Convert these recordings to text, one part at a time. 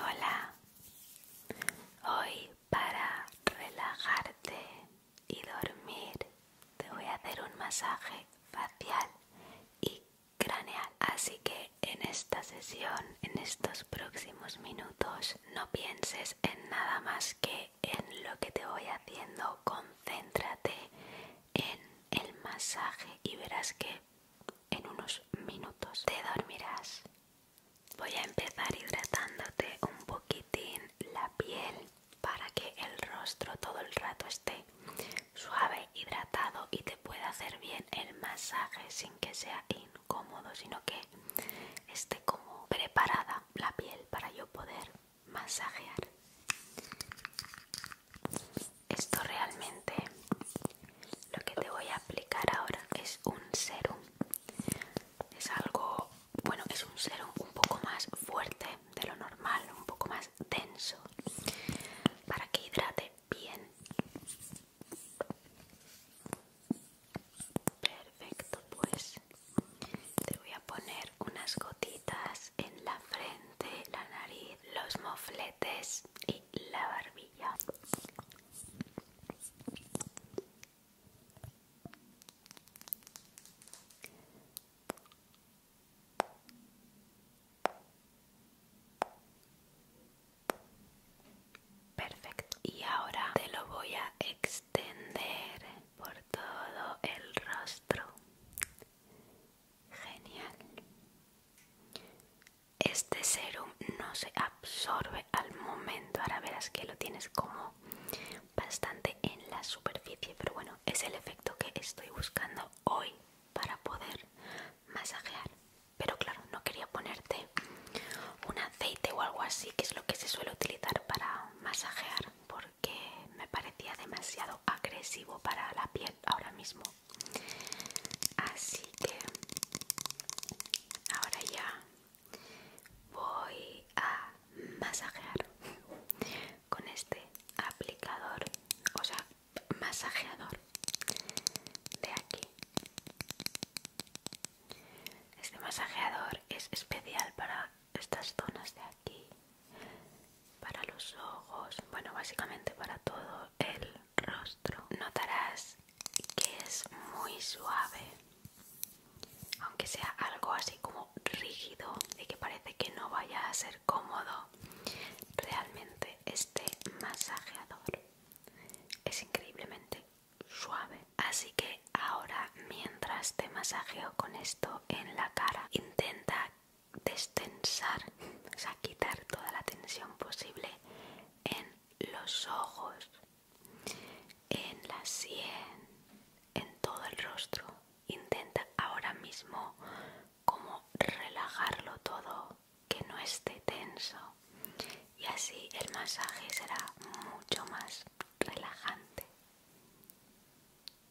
Hola, hoy para relajarte y dormir te voy a hacer un masaje facial y craneal. Así que en esta sesión, en estos próximos minutos, no pienses en nada más que en lo que te voy haciendo. Concéntrate en el masaje y verás que en unos minutos te dormirás. Voy a empezar hidratándote un poquitín la piel para que el rostro todo el rato esté suave, hidratado y te pueda hacer bien el masaje sin que sea incómodo, sino que esté como preparada la piel para yo poder masajear. Esto realmente lo que te voy a aplicar ahora es un serum. Es algo, bueno, es un serum un poco más fuerte de lo normal, un poco más denso para que hidrate bien. Perfecto, pues te voy a poner unas gotitas en la frente la nariz, los mofletes y la barbilla. Perfecto. Y ahora te lo voy a extender por todo el rostro. Genial. Este serum no se absorbe al momento. Ahora verás que lo tienes como bastante en la superficie, pero bueno, es el efecto que estoy buscando hoy para poder masajear. Pero claro, no quería ponerte un aceite o algo así, que es lo que se suele utilizar para masajear, porque me parecía demasiado agresivo para la piel ahora mismo así que ahora ya voy a masajear con este aplicador o sea masajeador de aquí este masajeador es especial para estas zonas de aquí para los ojos, bueno, básicamente para todo el rostro. Notarás que es muy suave, aunque sea algo así como rígido y que parece que no vaya a ser cómodo. Realmente este masajeador es increíblemente suave. Así que ahora mientras te masajeo con esto en la cara, intenta destensar, o sea, quitar toda la tensión posible en los ojos, en la sien, en todo el rostro. Intenta ahora mismo como relajarlo todo, que no esté tenso. Y así el masaje será mucho más relajante.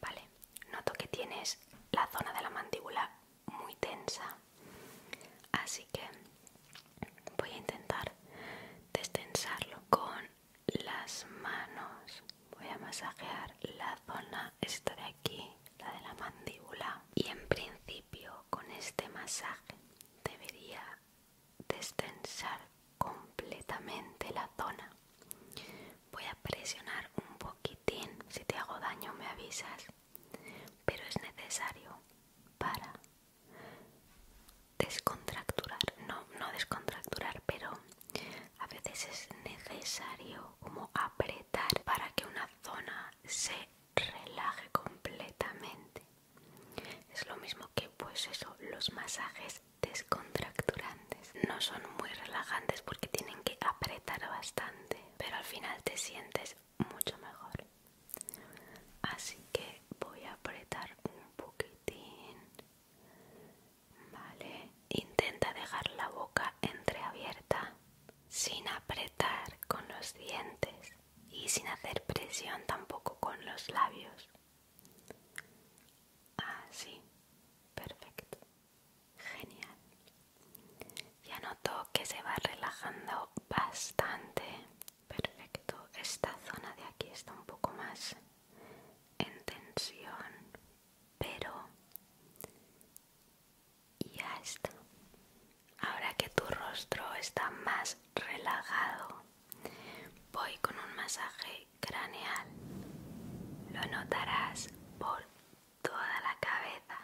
Vale, noto que tienes la zona de la mandíbula muy tensa, así que voy a intentar destensarlo con las manos voy a masajear la zona esta de aquí la de la mandíbula y en principio con este masaje debería destensar completamente la zona voy a presionar un poquitín si te hago daño me avisas pero es necesario para descontracturar, no, no descontracturar, pero a veces es necesario como apretar para que una zona se relaje completamente. Es lo mismo que pues eso, los masajes descontracturantes. No son muy relajantes porque tienen que apretar bastante, pero al final te sientes mucho mejor así que voy a apretar un poquitín vale intenta dejar la boca entreabierta sin apretar con los dientes y sin hacer presión tampoco con los labios así perfecto genial ya noto que se va relajando bastante Perfecto, esta zona de aquí está un poco más en tensión, pero ya está. Ahora que tu rostro está más relajado, voy con un masaje craneal. Lo notarás por toda la cabeza.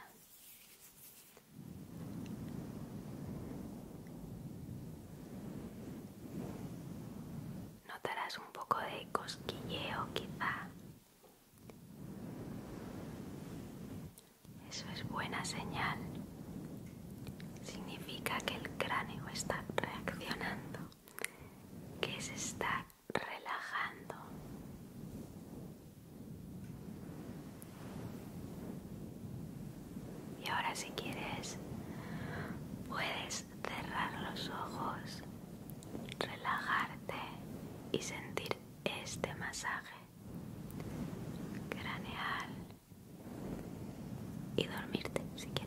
Notarás un poco de cosquilleo quizá. Eso es buena señal. Significa que el cráneo está reaccionando, que se está relajando. Y ahora si quieres, puedes cerrar los ojos, relajarte y sentir este masaje craneal y dormirte si quieres.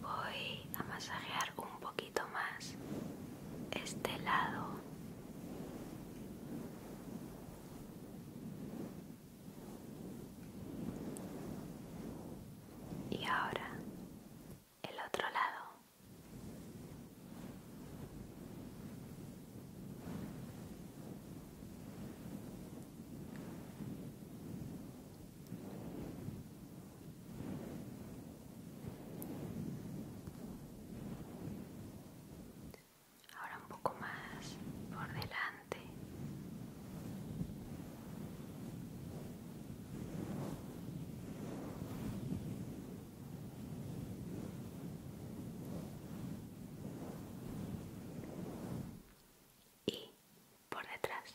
Voy a masajear un poquito más este lado y ahora el otro lado ahora un poco más por delante y por detrás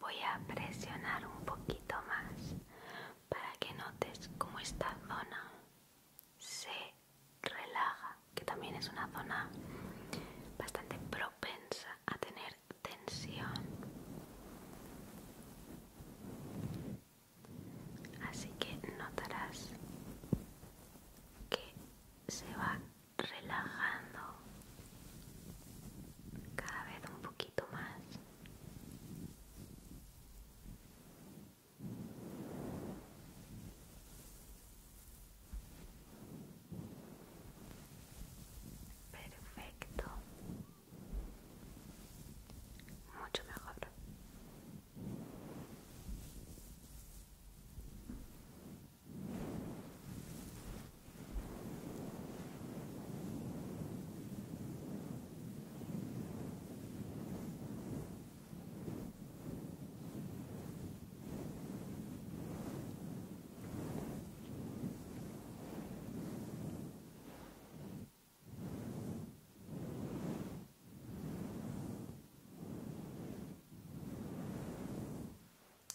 Voy a presionar un poquito más para que notes cómo esta zona se relaja, que también es una zona bastante propensa a tener tensión así que notarás que se va relajando cada vez un poquito más perfecto mucho mejor.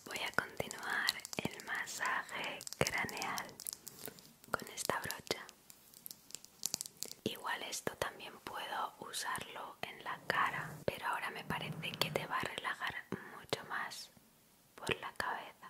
Voy a continuar el masaje craneal con esta brocha. Igual esto también puedo usarlo en la cara, pero ahora me parece que te va a relajar mucho más por la cabeza.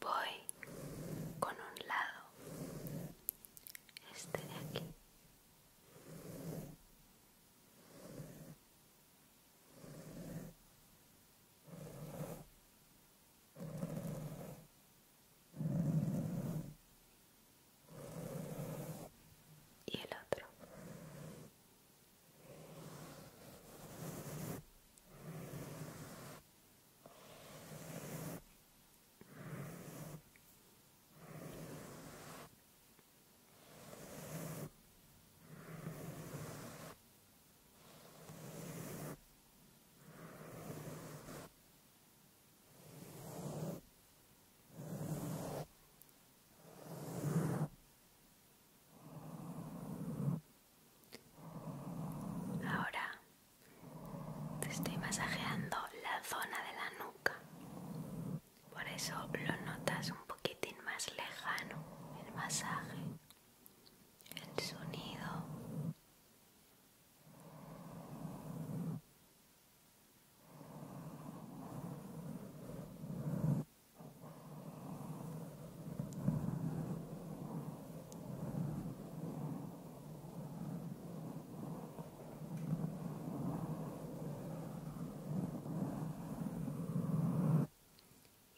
Voy con un lado, este de aquí y el otro Ahora te estoy masajeando la zona de la nuca, por eso lo notas un poquitín más lejano, el masaje, el sonido.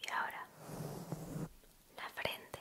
Y ahora la frente.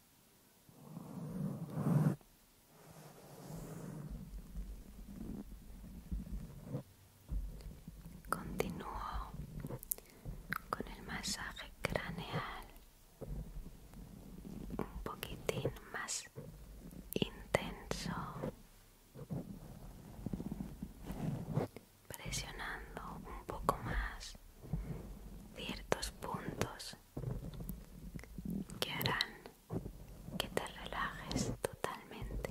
Continúo con el masaje craneal un poquitín más intenso presionando un poco más ciertos puntos que harán que te relajes totalmente.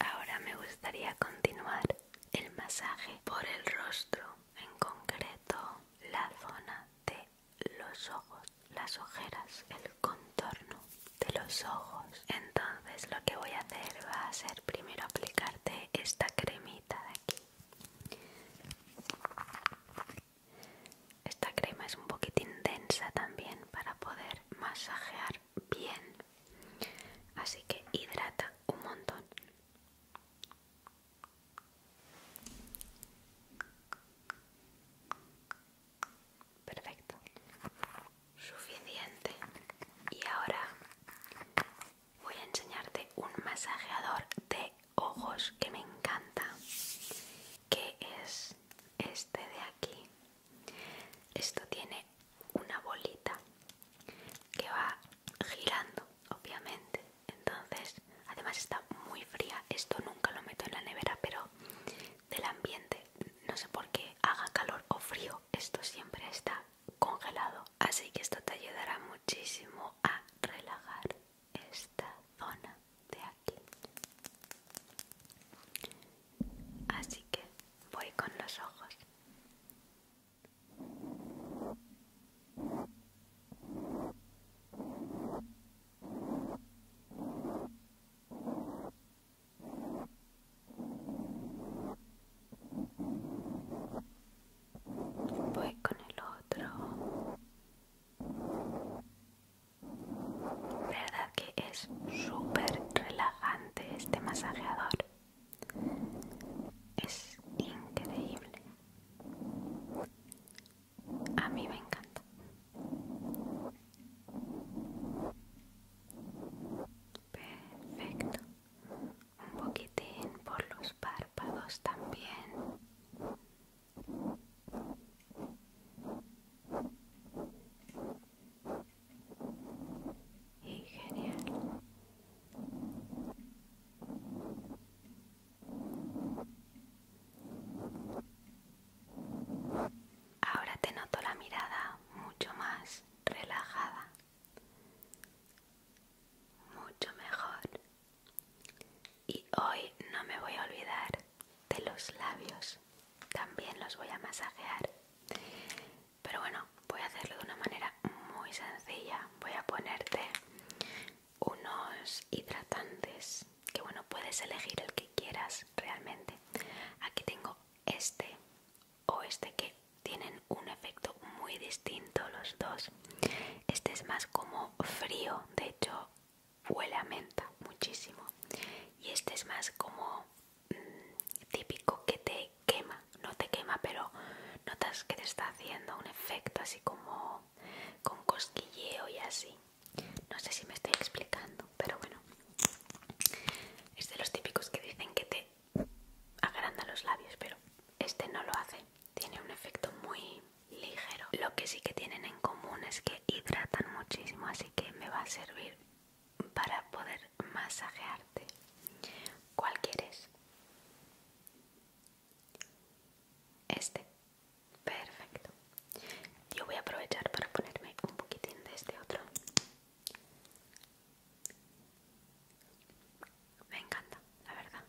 Ahora me gustaría continuar el masaje por el rostro, en concreto la zona de los ojos, las ojeras, el contorno de los ojos. Entonces lo que voy a hacer va a ser primero aplicarte esta cremita de aquí. Esta crema es un poquitín densa también para poder masajear bien. Así que hidrata un montón. Perfecto. Suficiente. Y ahora voy a enseñarte un masajeador de ojos que me encanta que es este de aquí esto tiene una bolita que va girando obviamente entonces además está muy fría esto nunca lo meto en la nevera pero del ambiente no sé por qué haga calor o frío esto siempre está congelado así que esto te ayudará muchísimo a relajar esta zona de aquí así que voy con los ojos Voy con el otro. ¿Verdad que es súper relajante este masajeador? Es increíble. A mí me encanta. Perfecto. Un poquitín por los párpados también genial ahora te noto la mirada mucho más relajada mucho mejor y hoy no me voy a olvidar de los labios. También los voy a masajear. Pero bueno, voy a hacerlo de una manera muy sencilla. Voy a ponerte unos hidratantes. Que bueno, puedes elegir el que quieras realmente. Aquí tengo este o este que tienen un efecto muy distinto los dos. Este es más como frío, de hecho huele a menta muchísimo y este es más como mm, típico que te quema no te quema pero notas que te está haciendo un efecto así como con cosquilleo y así no sé si me estoy explicando pero bueno es de los típicos que dicen que te agranda los labios pero este no lo hace tiene un efecto muy ligero. Lo que sí que tienen en común es que hidratan muchísimo, así que me va a servir para poder masajearte. ¿Cuál quieres? Este. Perfecto. Yo voy a aprovechar para ponerme un poquitín de este otro. Me encanta, la verdad.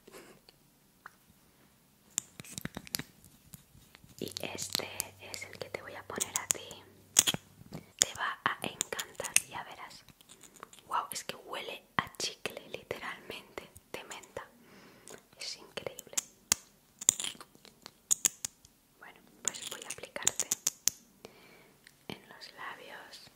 Y este es el que te voy a poner a ti. Te va a encantar, ya verás. Wow, es que huele a chicle, literalmente, de menta. Es increíble. Bueno, pues voy a aplicarte en los labios.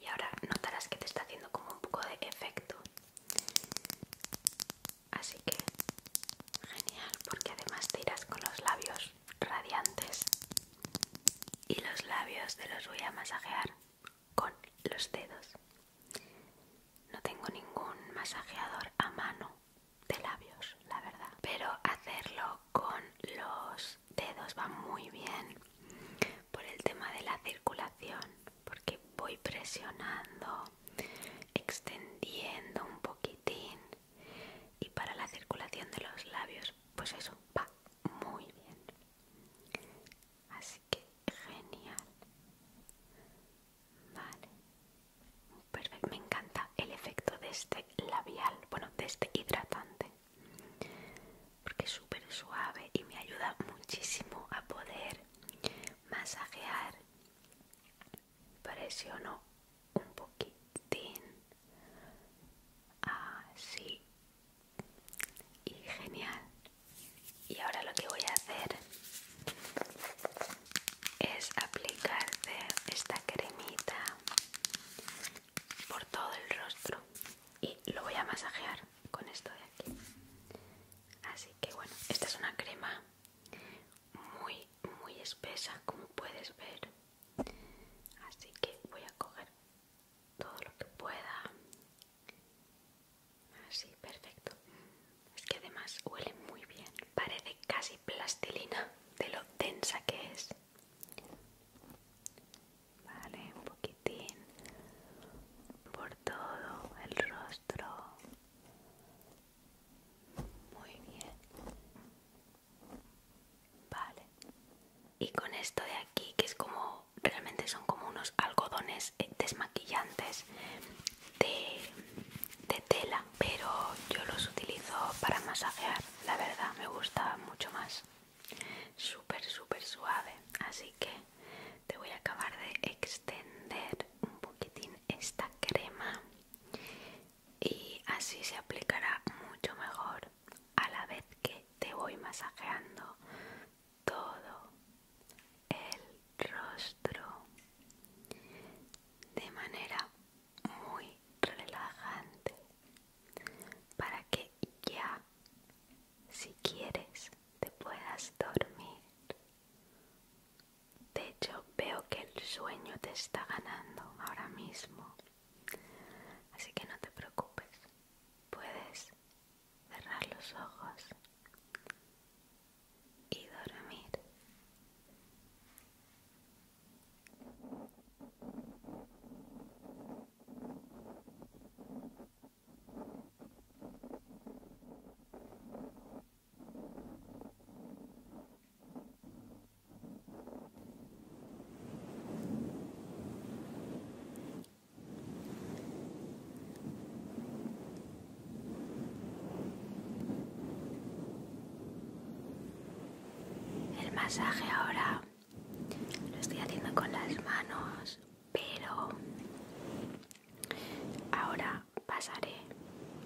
Y ahora notarás que te está haciendo como un poco de efecto. Así que genial, porque además tiras con los labios radiantes. Y los labios te los voy a masajear con los dedos. No tengo ningún masajeador a mano de labios, la verdad. Pero hacerlo con los dedos va muy bien por el tema de la circulación, porque voy presionando, extendiendo un poquitín y para la circulación de los labios, pues eso va muy bien así que genial vale perfecto me encanta el efecto de este labial bueno de este hidratante porque es súper suave y me ayuda muchísimo a poder masajear no un poquitín así ah, y genial y ahora lo que voy a hacer es aplicar esta cremita por todo el rostro y lo voy a masajear con esto de aquí. Así que bueno, esta es una crema muy, muy espesa, como puedes ver. Así que voy a coger todo lo que pueda Así, ah, perfecto. Es que además huele muy bien. Parece casi plastilina de lo densa que es. Vale, un poquitín por todo el rostro. Muy bien. Vale. Y con esto de aquí, que es como, realmente son como unos algodones eh, desmaquillantes de, de tela, pero yo los utilizo para masajear, la verdad me gusta mucho más. Súper, súper suave, así que te voy a acabar de extender un poquitín esta crema y así se aplicará mucho mejor a la vez que te voy masajeando todo el rostro de manera muy relajante para que ya si quieres te puedas dormir de hecho veo que el sueño te está ganando ahora mismo así que no te preocupes puedes cerrar los ojos y dormir. El masaje ahora lo estoy haciendo con las manos, pero ahora pasaré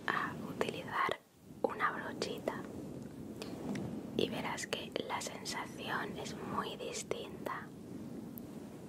a utilizar una brochita y verás que la sensación es muy distinta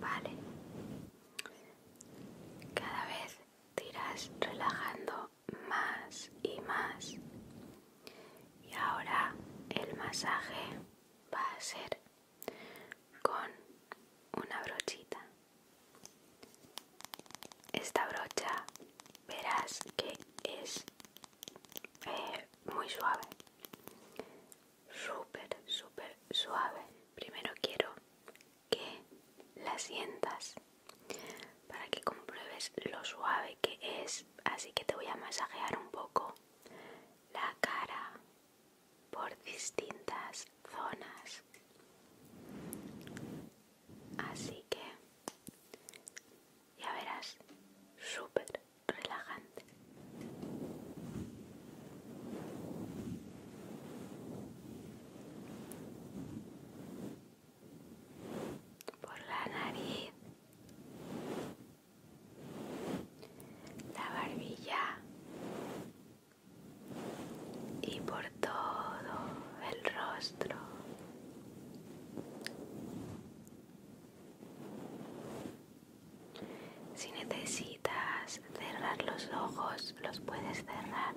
Vale. Cada vez tiras relajando más y más. Y ahora el masaje va a ser con una brochita. Esta brocha verás que es eh, muy suave, súper, súper suave. Primero quiero que la sientas para que compruebes lo suave que es, así que te voy a masajear un poco la cara por distintas zonas. Así que ya verás, súper relajante. Por la nariz la barbilla y por todo el rostro. Si necesitas cerrar los ojos, los puedes cerrar.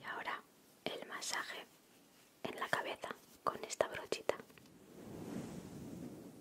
Y ahora el masaje en la cabeza con esta brochita.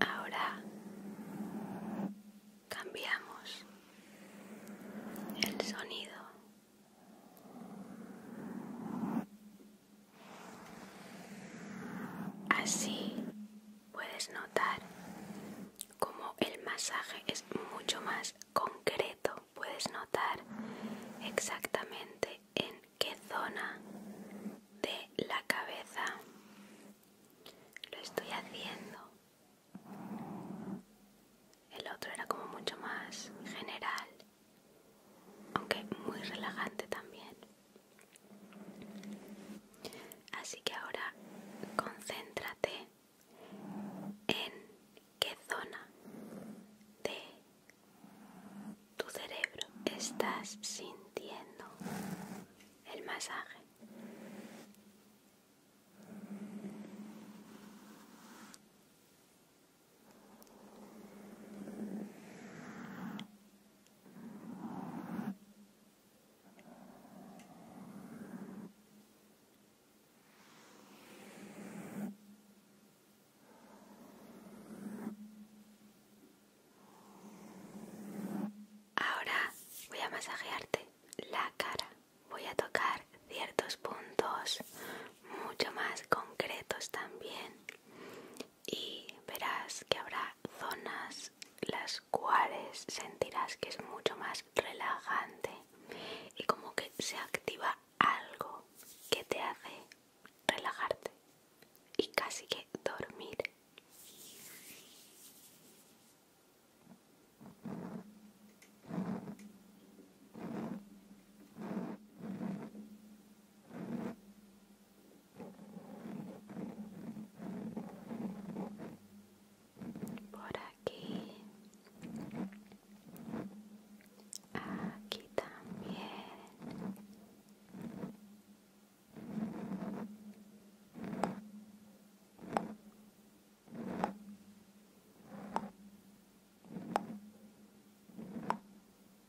Ahora cambiamos el sonido Así puedes notar cómo el masaje es mucho más concreto. Puedes notar exactamente en qué zona de la cabeza lo estoy haciendo. El otro era como mucho más general aunque muy relajante también. Así que ahora concéntrate en qué zona de tu cerebro estás sintiendo el masaje. Ahora voy a masajearte la cara. Voy a tocar ciertos puntos mucho más concretos también y verás que habrá zonas las cuales sentirás que es mucho más relajante y como que se activa algo que te hace relajarte y casi que dormir por aquí aquí también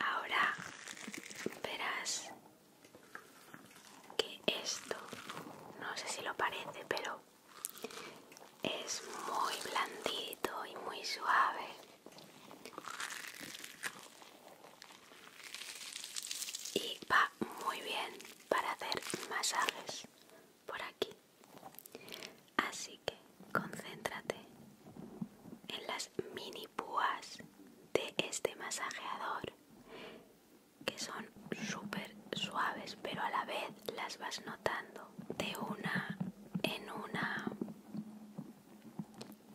Ahora verás que esto, no sé si lo parece, pero es muy blandito y muy suave. Y va muy bien para hacer masajes por aquí. Así que concéntrate en las mini púas de este masajeador que son súper suaves, pero a la vez las vas notando de una en una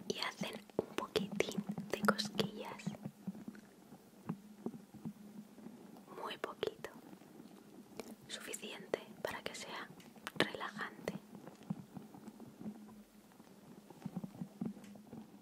y hacen un poquitín de cosquillas. Muy poquito. Suficiente para que sea relajante.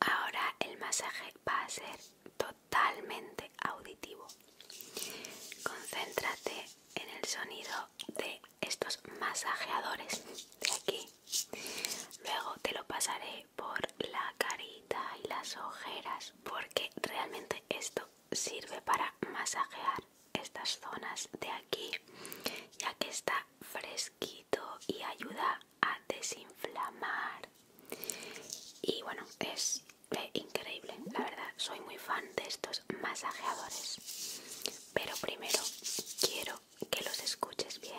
Ahora el masaje va a ser totalmente auditivo. Concéntrate en el sonido de estos masajeadores de aquí luego te lo pasaré por la carita y las ojeras porque realmente esto sirve para masajear estas zonas de aquí ya que está fresquito y ayuda a desinflamar y bueno es eh, increíble la verdad soy muy fan de estos masajeadores. Pero primero quiero que los escuches bien.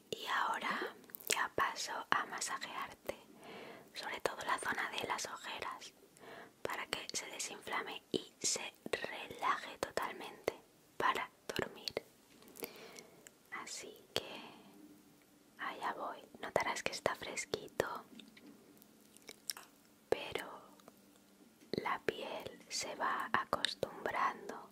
y ahora ya paso a masajearte sobre todo la zona de las ojeras para que se desinflame y se relaje totalmente para dormir así que allá voy notarás que está fresquito pero la piel se va acostumbrando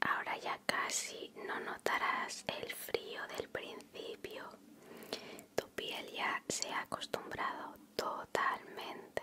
Ahora ya casi no notarás el frío del principio. Tu piel ya se ha acostumbrado totalmente.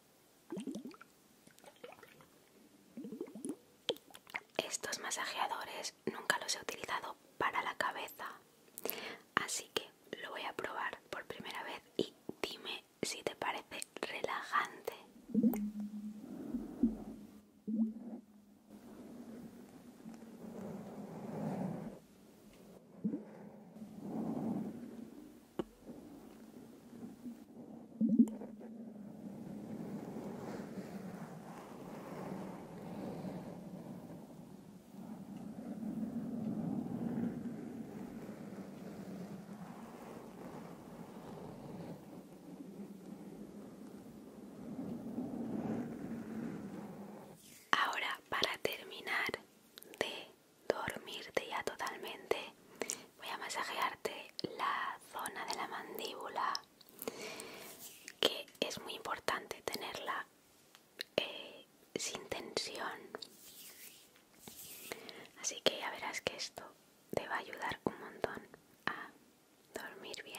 Estos masajeadores nunca los he utilizado para la cabeza, así que lo voy a probar por primera vez y dime si te parece relajante. Ahora, para terminar de dormirte ya totalmente, Voy a masajearte la zona de la mandíbula, que es muy importante tenerla eh, sin tensión. Así que ya verás que esto te va a ayudar un montón a dormir bien.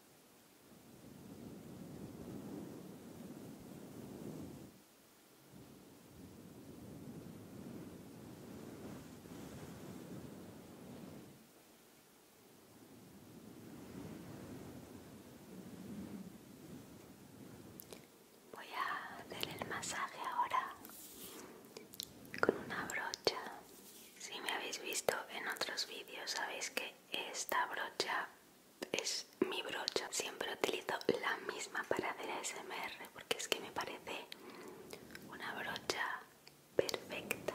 Voy a hacer el masaje ahora con una brocha. Si me habéis visto en otros vídeos sabéis que esta brocha es mi brocha. Siempre utilizo la misma para hacer ASMR porque es que me parece una brocha perfecta.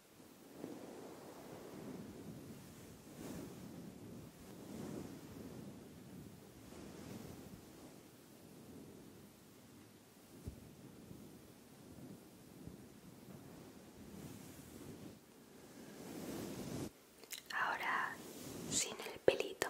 Ahora sin el pelito.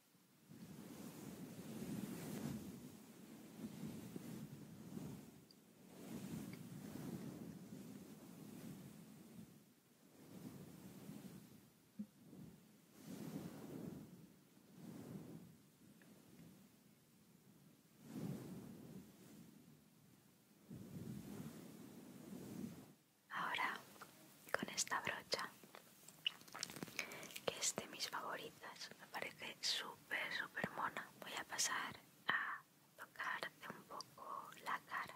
Ahora, con esta brocha que este mis favoritas me parece súper súper mona voy a pasar a tocar un poco la cara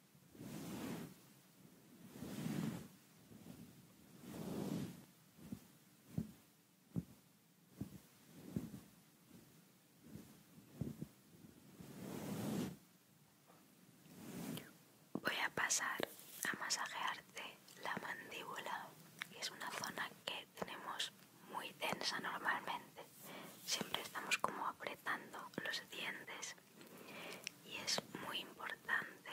Voy a pasar a masajearte la mandíbula, que es una zona que tenemos muy densa normalmente. Siempre estamos como apretando los dientes y es muy importante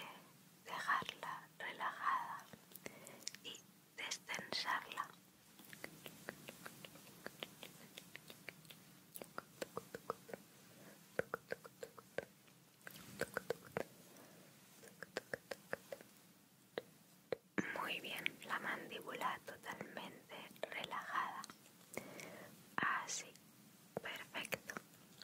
dejarla relajada y destensarla. Muy bien, la mandíbula totalmente relajada. Así, perfecto.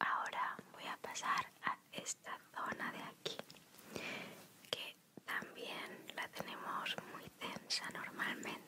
Ahora voy a pasar a esta zona de aquí que también la tenemos muy densa normalmente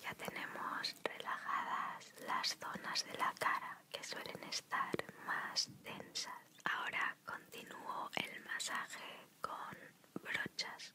ya tenemos relajadas las zonas de la cara que suelen estar más densas, Ahora continúo el masaje con brochas.